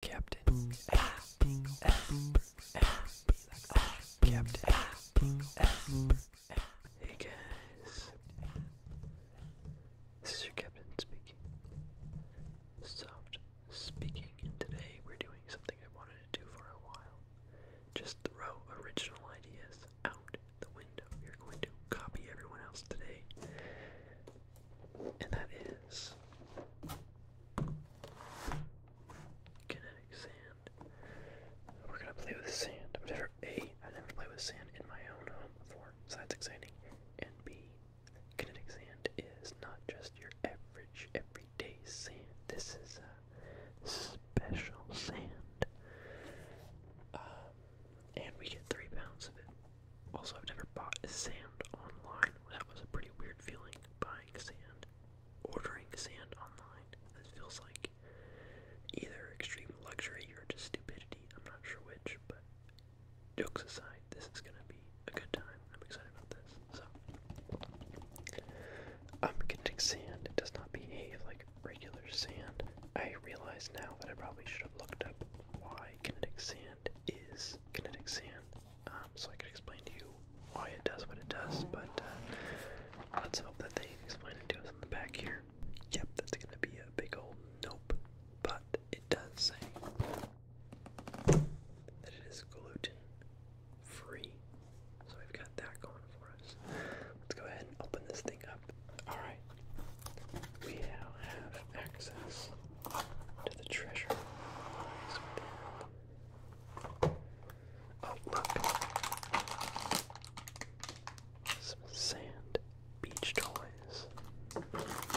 Captain Captain Hey guys, this is your captain speaking. Soft speaking, and today we're doing something I wanted to do for a while. Just throw original ideas out the window. You're going to copy everyone else today, and that is Kinetic sand. We're gonna play with sand. i A, I've never played with sand in my own home before, so that's exciting. And B, kinetic sand is not just your average everyday sand. This is a special sand. Uh, and we get three pounds of it. Also, I've never bought sand online. That was a pretty weird feeling, buying sand, ordering sand online. This feels like either extreme luxury or just stupidity. I'm not sure which, but jokes aside, this is gonna be a good time. I'm excited about this. So, I'm getting sand. It does not behave like regular sand. I realize now that I probably should have looked up why kinetic sand is kinetic sand. Um, so I can explain to you why it does what it does, but uh, let's hope that they explain it to us in the back here. Yep, that's gonna be a big old nope, but it does say that it is gluten free. So we've got that going for us. Let's go ahead and open this thing up. Alright, we now have access to the treasure Oh, look! Some sand beach toys. Alright.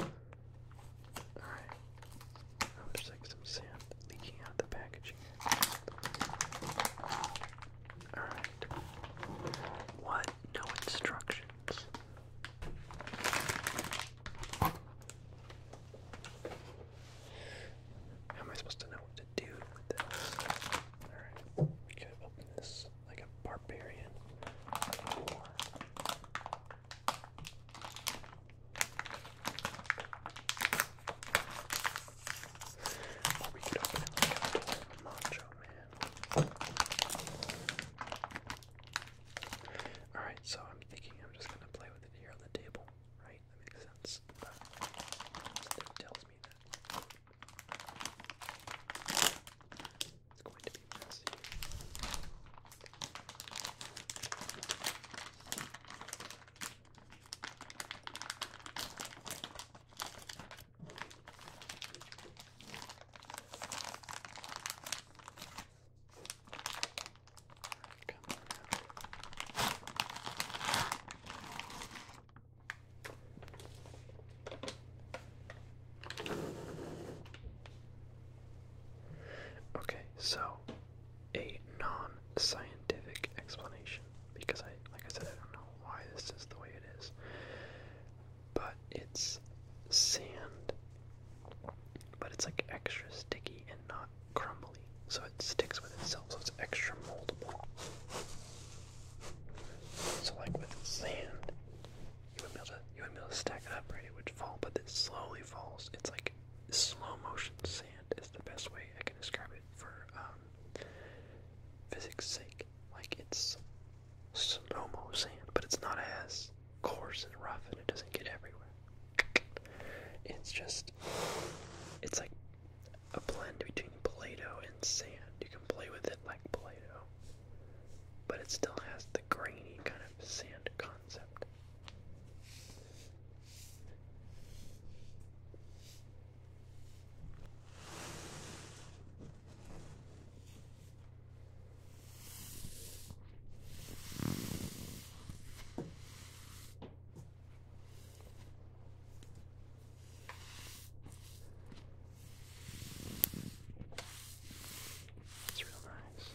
Oh, there's like some sand leaking out the packaging. Alright. What? No instructions. How am I supposed to know what to do with this? Alright, we could open this like a barbarian. Or... Or we could open man. Alright, so I'm thinking I'm just gonna play with it here on the table, right? That makes sense. tells me that it's going to be messy. Okay, so a non-scientific explanation because I like I said I don't know why this is the way it is. But it's sand but it's like extra sticky and not crumbly, so it sticks with itself, so it's extra moldable. So like with sand, you would be able to you would be able to stack it up, right? It would fall, but then slowly falls. It's like slow motion sand is the best way I can describe it for um, physics' sake. Like it's slow mo sand, but it's not as coarse and rough and it doesn't get everywhere. It's just, it's like a blend between Play Doh and sand. You can play with it like Play Doh, but it still has the grainy kind of sand concept. It's real nice.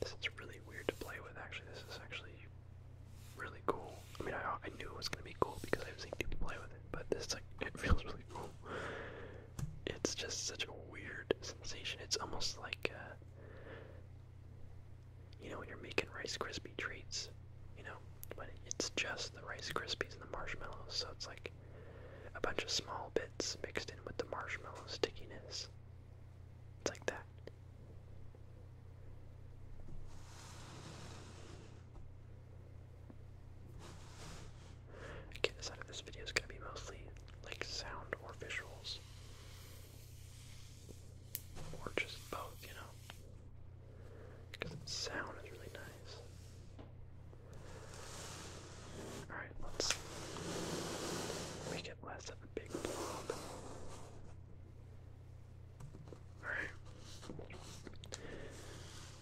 This is really weird to play with actually. This is actually really cool. I mean, I, knew it was gonna be cool because i was seen people play with it, but this like it feels really cool. It's just such a weird sensation. It's almost like uh, you know when you're making Rice Krispie treats, you know, but it's just the Rice Krispies and the marshmallows, so it's like a bunch of small bits mixed in with the marshmallow stickiness. It's like that. Okay, the side of this video is going to be mostly like sound or visuals. Or just both, you know? Because sound is really nice. Alright, let's make it less of a big blob. Alright.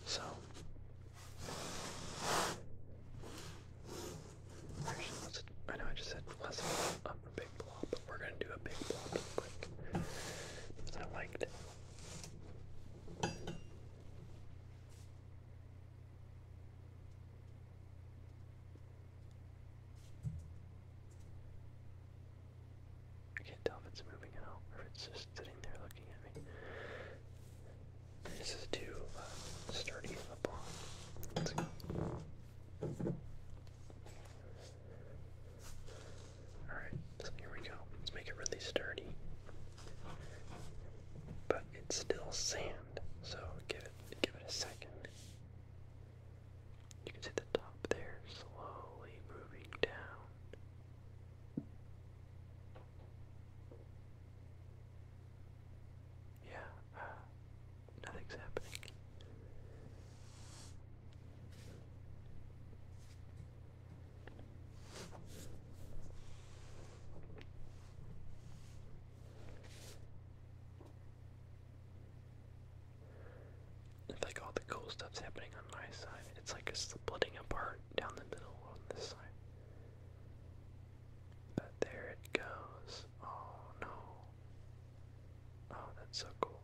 So. I know I just said let's a big blob, but we're gonna do a big blob quick. Because I liked it. I can't tell if it's moving at all or if it's just sitting there looking at me. This is too uh, sturdy of Let's go. Alright, here we go. Let's make it really sturdy. But it's still sand, so give it give it a second. You can see the top there slowly moving down. Yeah, uh, nothing's happening. It's like all the cool stuff's happening on my side. It's like it's splitting apart down the middle on this side. But there it goes. Oh no. Oh, that's so cool.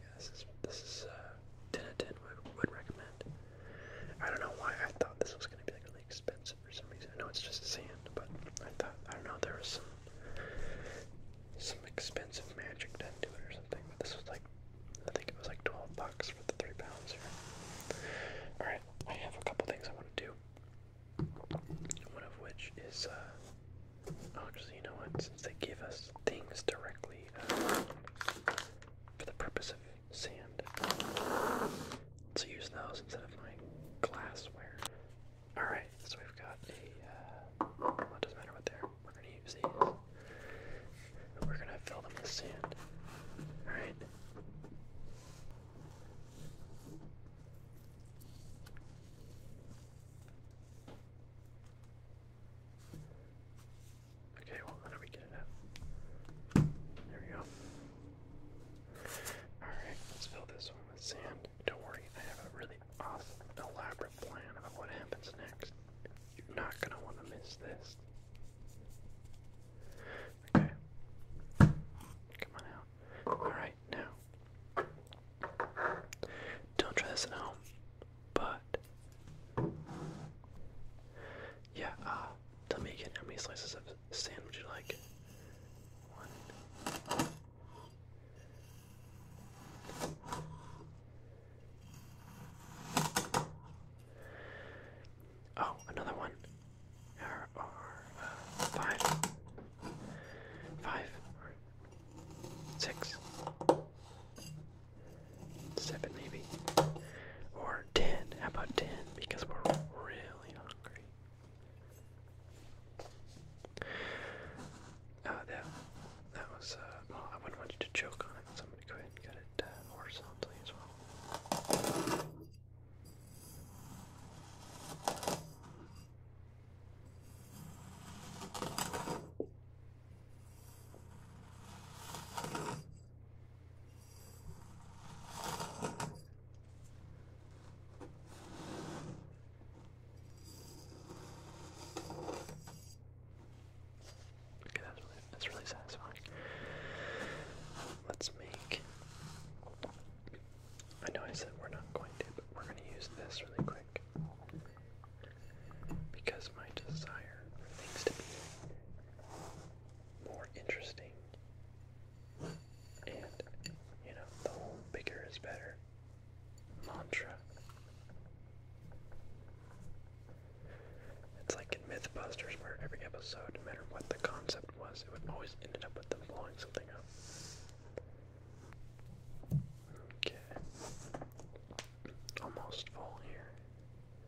Yeah, this is uh, 10 out of 10 would, would recommend. I don't know why I thought this was going to be like really expensive for some reason. I know it's just sand, but I thought, I don't know, there was some some expensive magic done to it or something, but this was like, I think it was like 12 bucks for the 3 pounds here. Alright, I have a couple things I want to do. One of which is, uh, oh, actually, you know what? Since they give us things directly uh, for the purpose of sand. So use those instead of my glassware. Alright, so we've got a, uh, it doesn't matter what they're, we're gonna use these. We're gonna fill them with sand. Alright. Okay, well, how do we get it out? There we go. Alright, let's fill this one with sand. Don't worry, I have a really awesome, elaborate plan about what happens next. You're not going to want to miss this. Okay. Come on out. Alright, now. Don't try this at home. But yeah, uh, tell me again how many slices of sand you like? One. Oh, another one. Uh, five, five, six, Seven maybe. Or ten. How about ten? Because we're really hungry. Uh, that, that was, uh, I wouldn't want you to choke on it, so I'm going to go ahead and cut it uh, horizontally as well. Okay, that's really, that's really satisfying. Let's make. I know I said we're not going to, but we're going to use this really quick because my desire for things to be more interesting and, you know, the whole bigger is better mantra. It's like in Mythbusters, where every episode, no matter what the concept was, it would always end up with them blowing something up. Okay. Almost full here.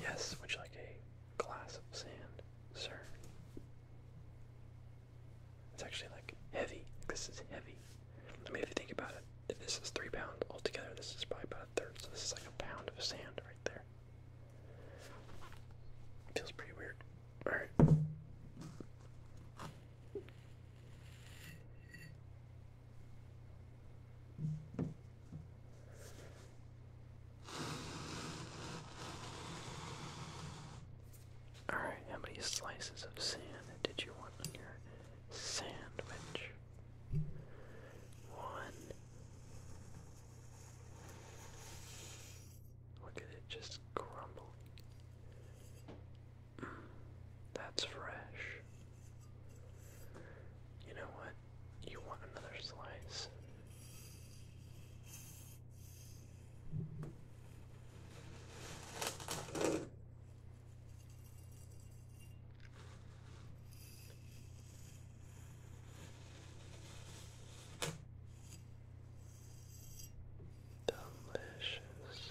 Yes, would you like a glass of sand, sir? It's actually like heavy. This is heavy. I mean, if you think about it, this is three pounds altogether, this is probably about a third. So this is like a pound of sand right there. Feels pretty weird. All right. Alright, how many slices of sand did you want on your sandwich? One. Look at it just crumbling. Mm, that's fresh. You know what? You want another slice? Delicious.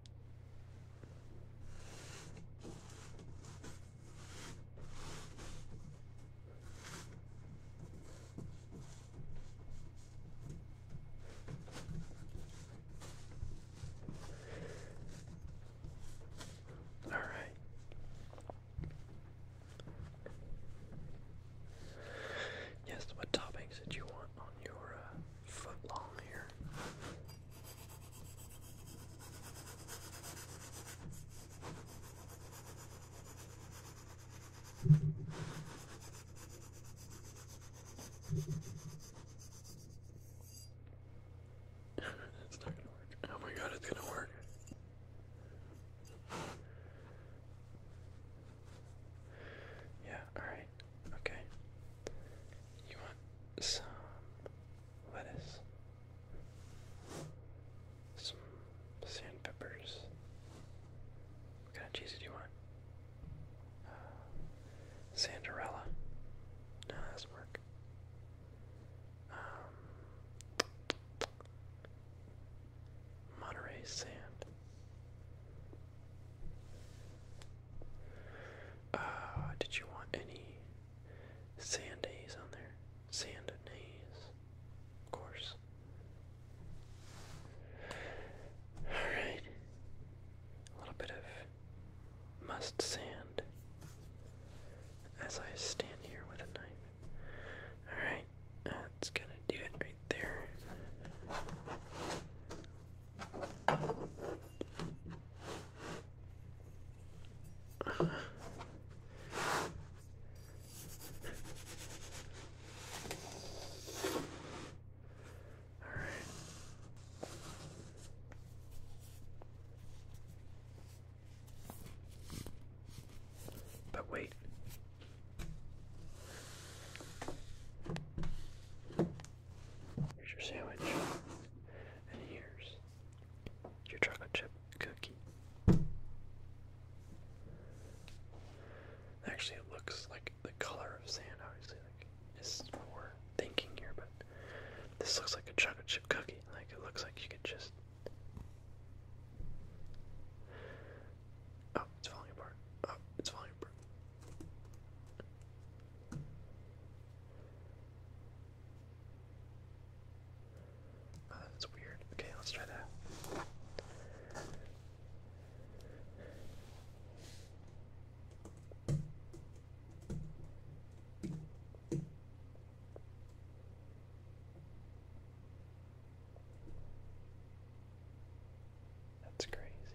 All right. Yes, what topics did you want on your uh, foot long here? Oh my god, it's gonna work. Yeah, alright. Okay. You want some lettuce, some sand peppers. What kind of cheese do you want? Uh, No, that doesn't work. Um, Monterey sand. Uh, did you want any sandays on there? Sandanays, of course. Alright. A little bit of must sand as I stand here with a knife. Alright, that's gonna do it right there. But wait. Here's your sandwich. And here's your chocolate chip cookie. Actually, it looks like the color of sand, obviously. Like, this is what thinking here, but this looks like a chocolate chip cookie. Like, it looks like you could just. Oh, it's falling apart. Oh, it's falling apart. Oh, that's weird. Okay, let's try that. That's crazy.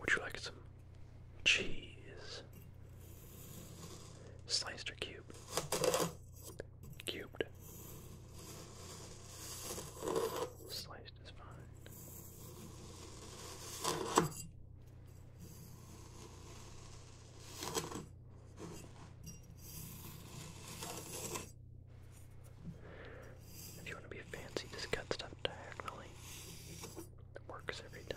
Would you like some cheese? Sliced or cubed? Cubed. Sliced is fine. If you want to be fancy, just cut stuff diagonally. It works every time.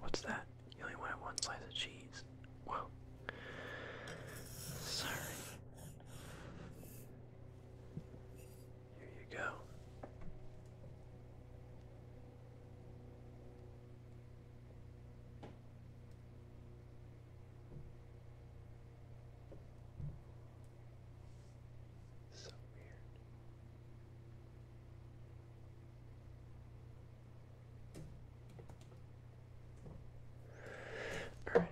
What's that? You only wanted one slice of cheese. Well, sorry. Here you go. So weird. Alright.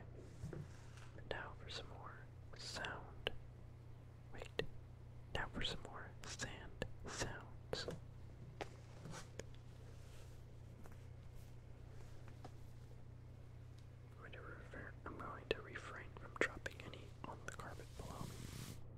Now for some more sound. Wait. Now for some more sand sounds. I'm going to refrain from dropping any on the carpet below.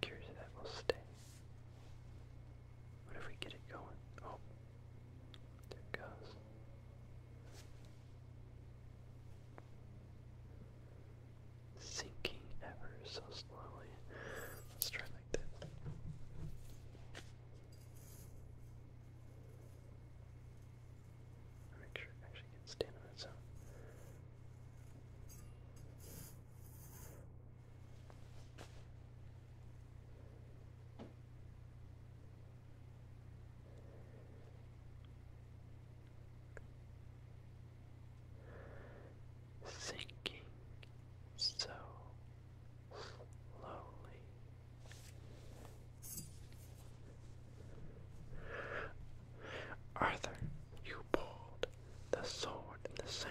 Curious if that will stay. What if we get it going? Oh, there it goes. Sinking ever so slowly. Let's try like this. Make sure it actually gets down on its own. Sinking so Arthur, you pulled the sword in the sand.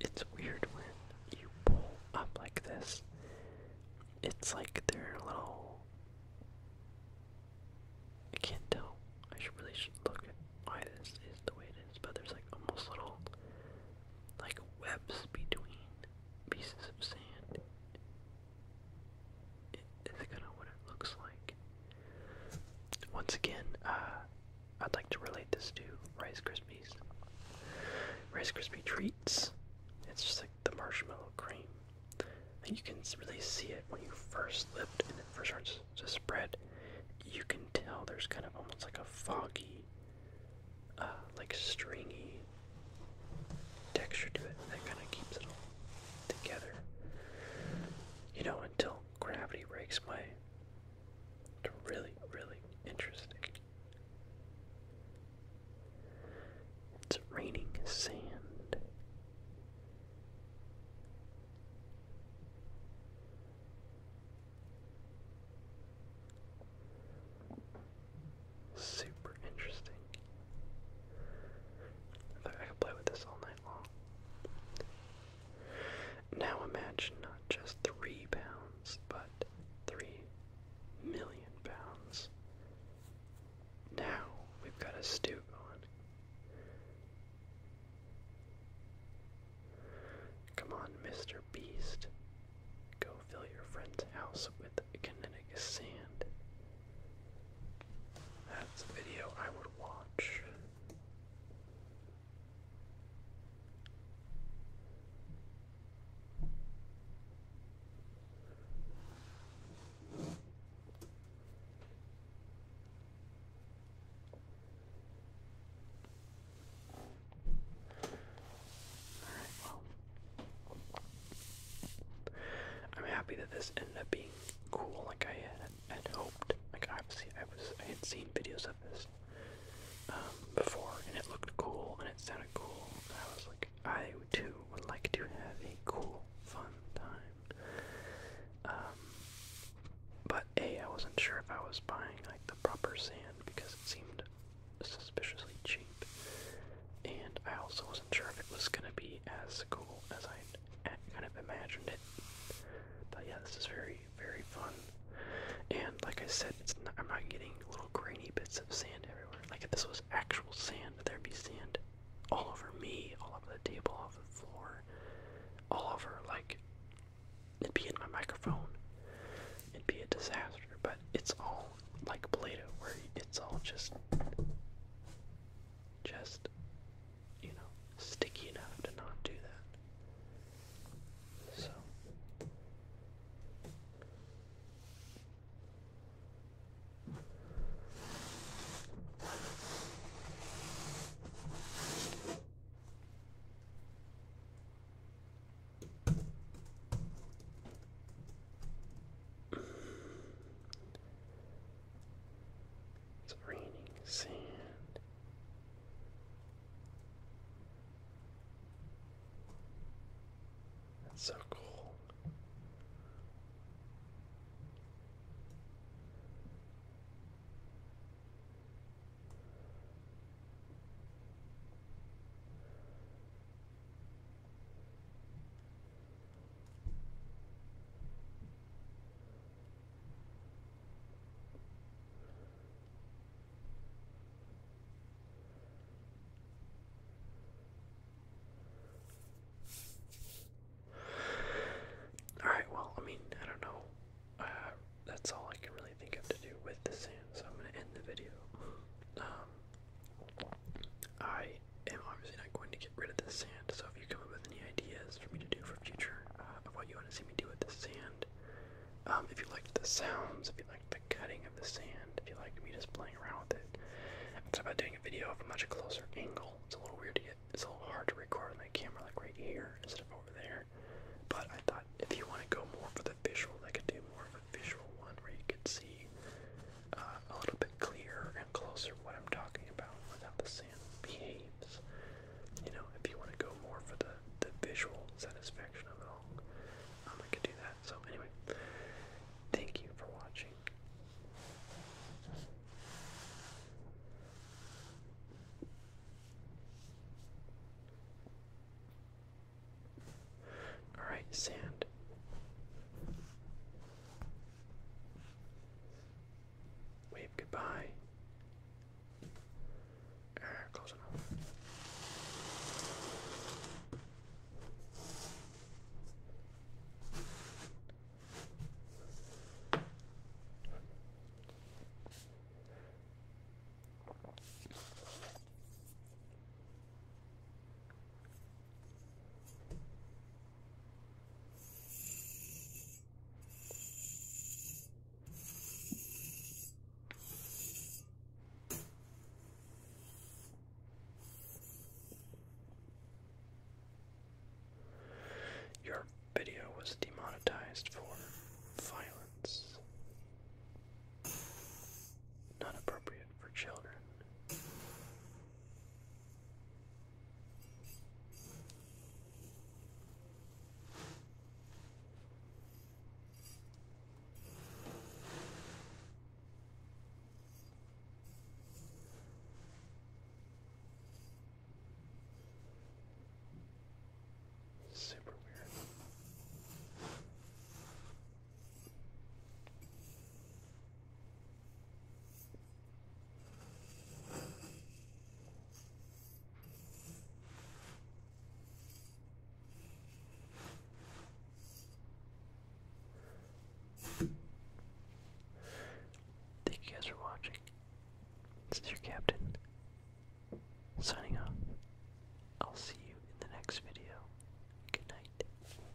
It's weird when you pull up like this. It's like they're little. I can't tell. I really should look why this is the way it is, but there's like almost little like webs between pieces of sand is kind of what it looks like. Once again, uh, I'd like to relate this to Rice Krispies. Rice Krispie treats. It's just like the marshmallow cream. And you can really see it when you first lift and it first starts to spread. You can tell there's kind of almost like a foggy, uh, like stringy texture to it that kind of keeps it all together. You know, until gravity breaks my really, really interesting. It's raining sand. Super interesting. I could play with this all night long. Now imagine not just three pounds, but three million pounds. Now we've got a stew going. Come on, Mr. Beast. Go fill your friend's house with Connecticut sand. That's a video I would watch. All right, well, I'm happy that this ended up being cool like I had, hoped. Like obviously I was I had seen videos of this um, before and it looked cool and it sounded cool I was like I too would like to have a cool fun time. Um, but A I wasn't sure if I was buying like the proper sand because it seemed suspiciously cheap. And I also sure if it was gonna be as cool as I kind of imagined it. But yeah, this is very, very fun. And like I said, I'm not getting little grainy bits of sand everywhere. Like if this was actual sand, there'd be sand all over me, all over the table, all over the floor, all over like it'd be in my microphone. It'd be a disaster. But it's all like Play-Doh, where it's all just just, you know, sticky enough to not do that. So. It's raining sand. That's so cool. All right, well, I mean, I don't know. Uh, that's all I can really think of to do with the sand, so I'm going to end the video. Um, I am obviously not going to get rid of the sand, so if you come up with any ideas for me to do for future uh, of what you want to see me do with this sand, um, if you liked the sounds, if you liked the cutting of the sand, if you liked me just playing around with it, it's about doing a video of a much closer angle. It's a little weird to get, it's a little hard to record with my camera like right here instead of over there. But I thought if you want to go more for the visual, I could do more of a visual one where you could see uh, a little bit clearer and closer what I'm talking about without the sand behaves. You know, if you want to go more for the, the visual satisfaction of it all, um, I could do that. So, anyway, thank you for watching. All right, sand. Wave goodbye. Ah, close enough. Your video was demonetized for violence. Not appropriate for children. Super weird. Thank you guys for watching. This is your captain signing off. I'll see you in the next video. Good night.